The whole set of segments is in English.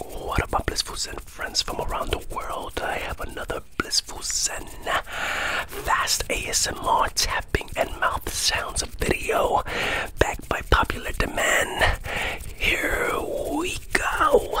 What about Blissful Zen friends from around the world? I have another Blissful Zen fast ASMR tapping and mouth sounds video backed by popular demand. Here we go.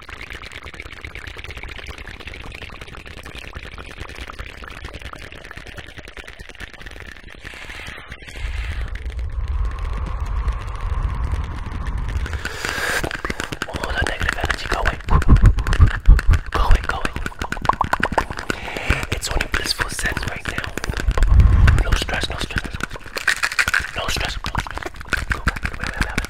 All the negative energy go away. Go away, go away. It's only blissful sense right now. No stress, no stress. No stress. Go back. Go back.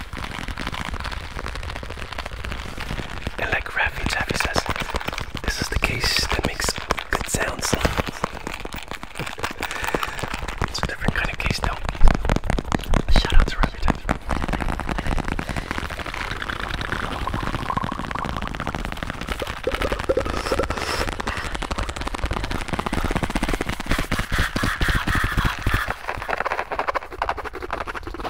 And like Rafi this is the case that makes good sounds. it's a different kind of case though. Shout out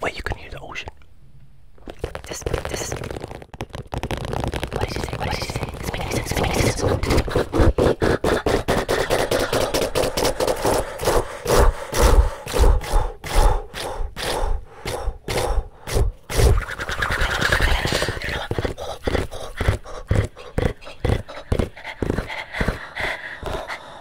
Where you can hear the ocean. This, this is. What did you say? What did you say? This makes sense. This makes sense.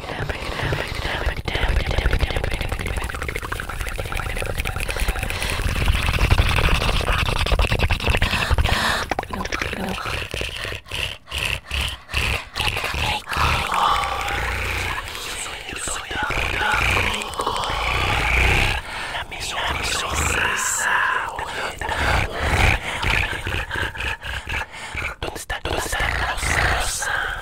Donde está, donde está Rosa? Rosa?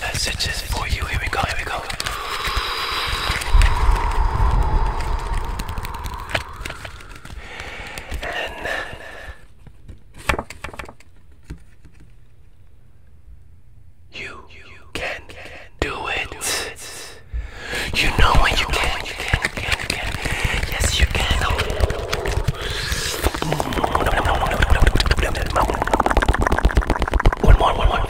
this for you. Here we go, here we go. And you, can, do it. You know when you, can, Yes, you can. one more, one more.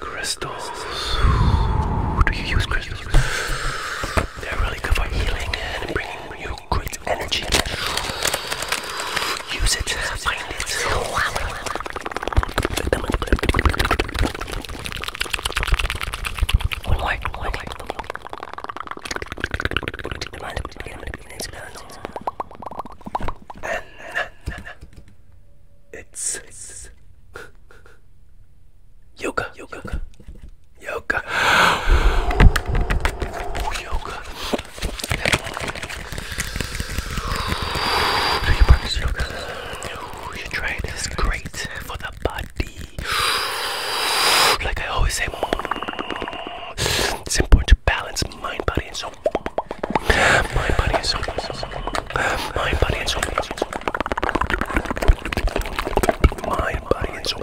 Crystals. Do you use crystals? They're really good for healing and bringing you good energy. Use it. One like, it's, it's yoga, yoga, yoga, Ooh, yoga. Do you practice yoga? Ooh, you try it. It's great for the the body. Like I always say, mm, it's important to balance mind, body, and soul. Mind, body, and soul. Mind, body, and soul. Mind, body, and soul.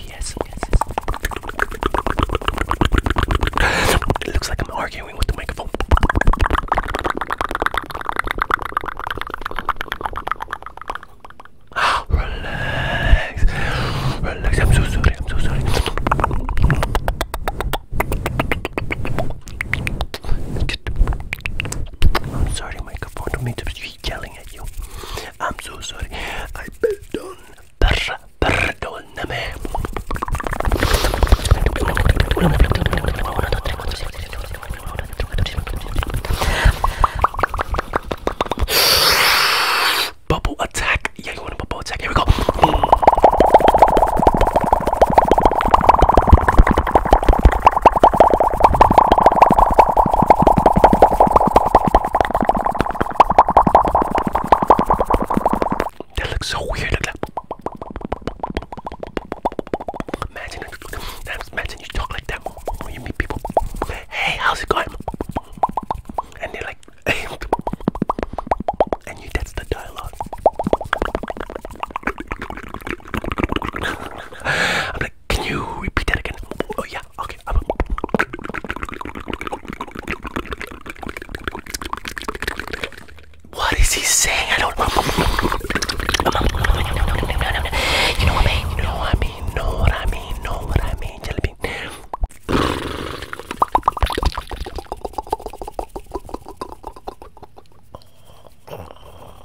Yes, yes, yes. It looks like I'm arguing with the microphone. Relax. Relax. I'm so sorry. I'm so sorry. I'm sorry, microphone. don't mean to be yelling at you. I'm so sorry. I pardon. Per perdóname. Bubble attack. Yeah, you want bubble attack. Here we go. That looks so weird. Imagine, imagine you talk like that when you meet people. Hey, how's it going? And they're like, hey. and you, that's the dialogue. I'm can you repeat that again? Oh yeah. Okay. is he saying? I don't. You know what I mean? You know what I mean? Know what I mean? Know what I mean? Jelly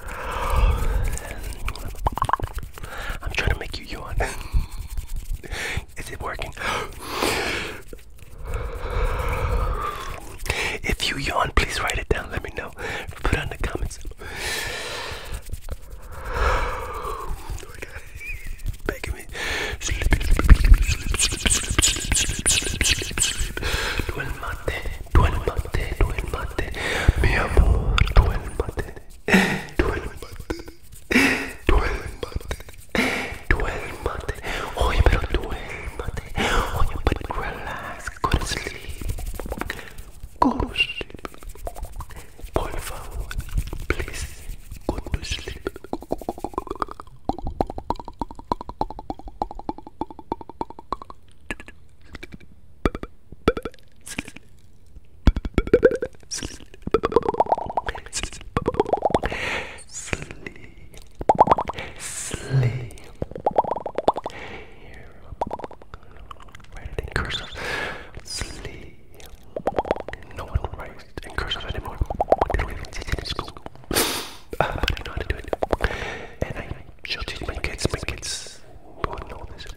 I'm trying to make you yawn. Is it working? If you yawn, please write it down. Let me know. Put it in the comments. Duelo empate. Duelo empate. Duelo empate. Oye, pero duélmate. Oye, but relax. Go to sleep. Go to sleep. Por please. Go to sleep. Sleep. Writing cursive. Sleep. No one writes in cursive anymore. They don't even teach it in school. I know how do it. And I shall teach my kids. My kids won't know this.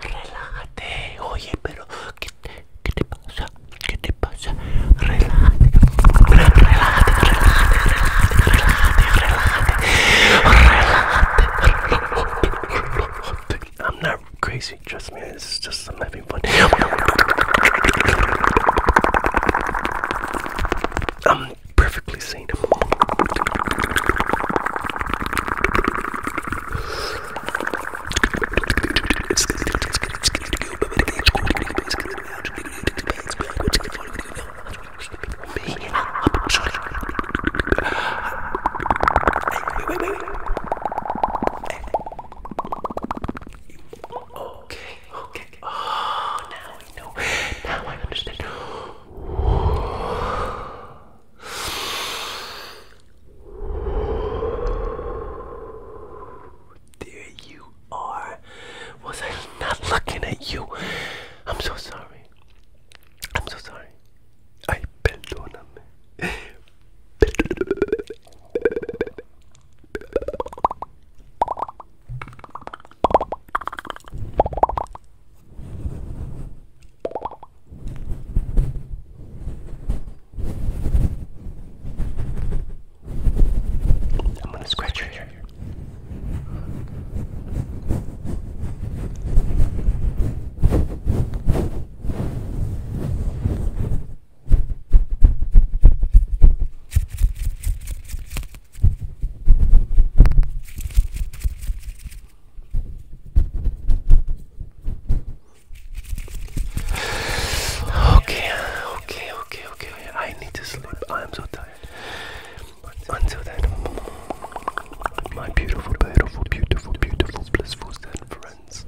Relájate, oye, pero ¿qué te, qué te pasa? ¿Qué te pasa? Relájate, relájate, relájate, relájate, relájate, relájate, relájate. I'm not crazy, trust me, it's just I'm having fun. I'm perfectly sane. Okay, okay. Oh, now I know. Now I understand. There you are. Was I not looking at you? I'm so sorry. I'm so sorry. I on them. I'm gonna scratch your hair. Okay, okay, okay, okay. I need to sleep. I am so tired. Until then, my beautiful, beautiful, beautiful, beautiful, blissful friends.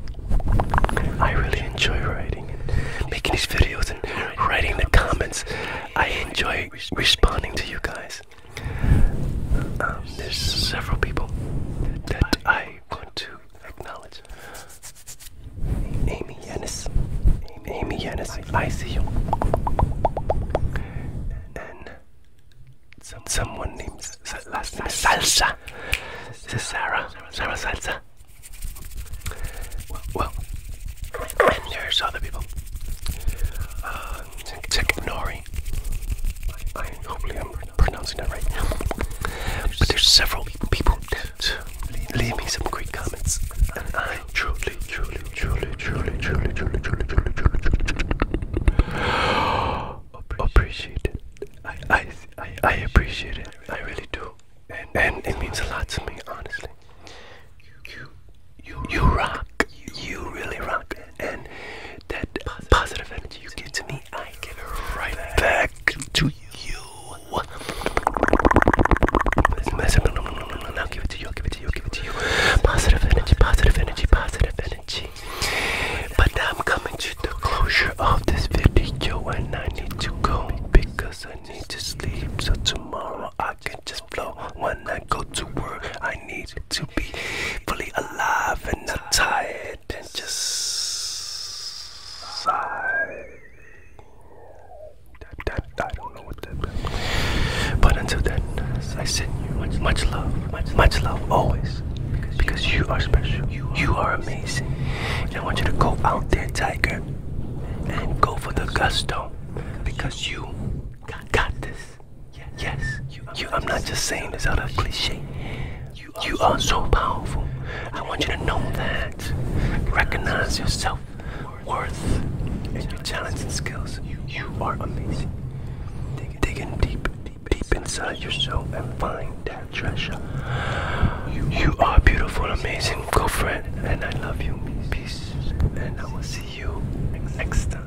I really enjoy writing and making these videos and writing the comments. I enjoy responding to you guys. Um, there's several people that I want to acknowledge. Amy Yanis. Amy Yanis. I see you. And someone named last name Salsa. This is Sarah. Sarah Salsa. Well, and there's other people. Uh, I, hopefully I'm pronouncing that right. But there's several people that leave me some great comments, and I truly, truly, truly, truly, truly, truly, truly, truly, truly appreciate it. I, I, I appreciate it. I really do, and and it means a lot to me, honestly. You, you, you rock. You really rock, and that positive energy you give to me I give get right back to you. Listen, no, no, no, no, no, no, give it to you, I'll give it to you, I'll give it to you. Positive energy, positive energy, positive energy. But I'm coming to the closure of this video and I need to go because I need to sleep. So tomorrow I can just flow when I go to work. I need to be fully alive and not tired and just sigh. But until then, I send you much, much love, much, love always. Because, you are special, you are amazing. And I want you to go out there, Tiger, and go for the gusto. Because you got this. Yes, you, I'm not just saying this out of cliche. You are, so powerful. I want you to know that. Recognize your self worth and your talents and skills. You are amazing. Digging deep, deep, deep inside yourself and find that treasure. You are beautiful, amazing, girlfriend, and I love you. Peace, and I will see you next time.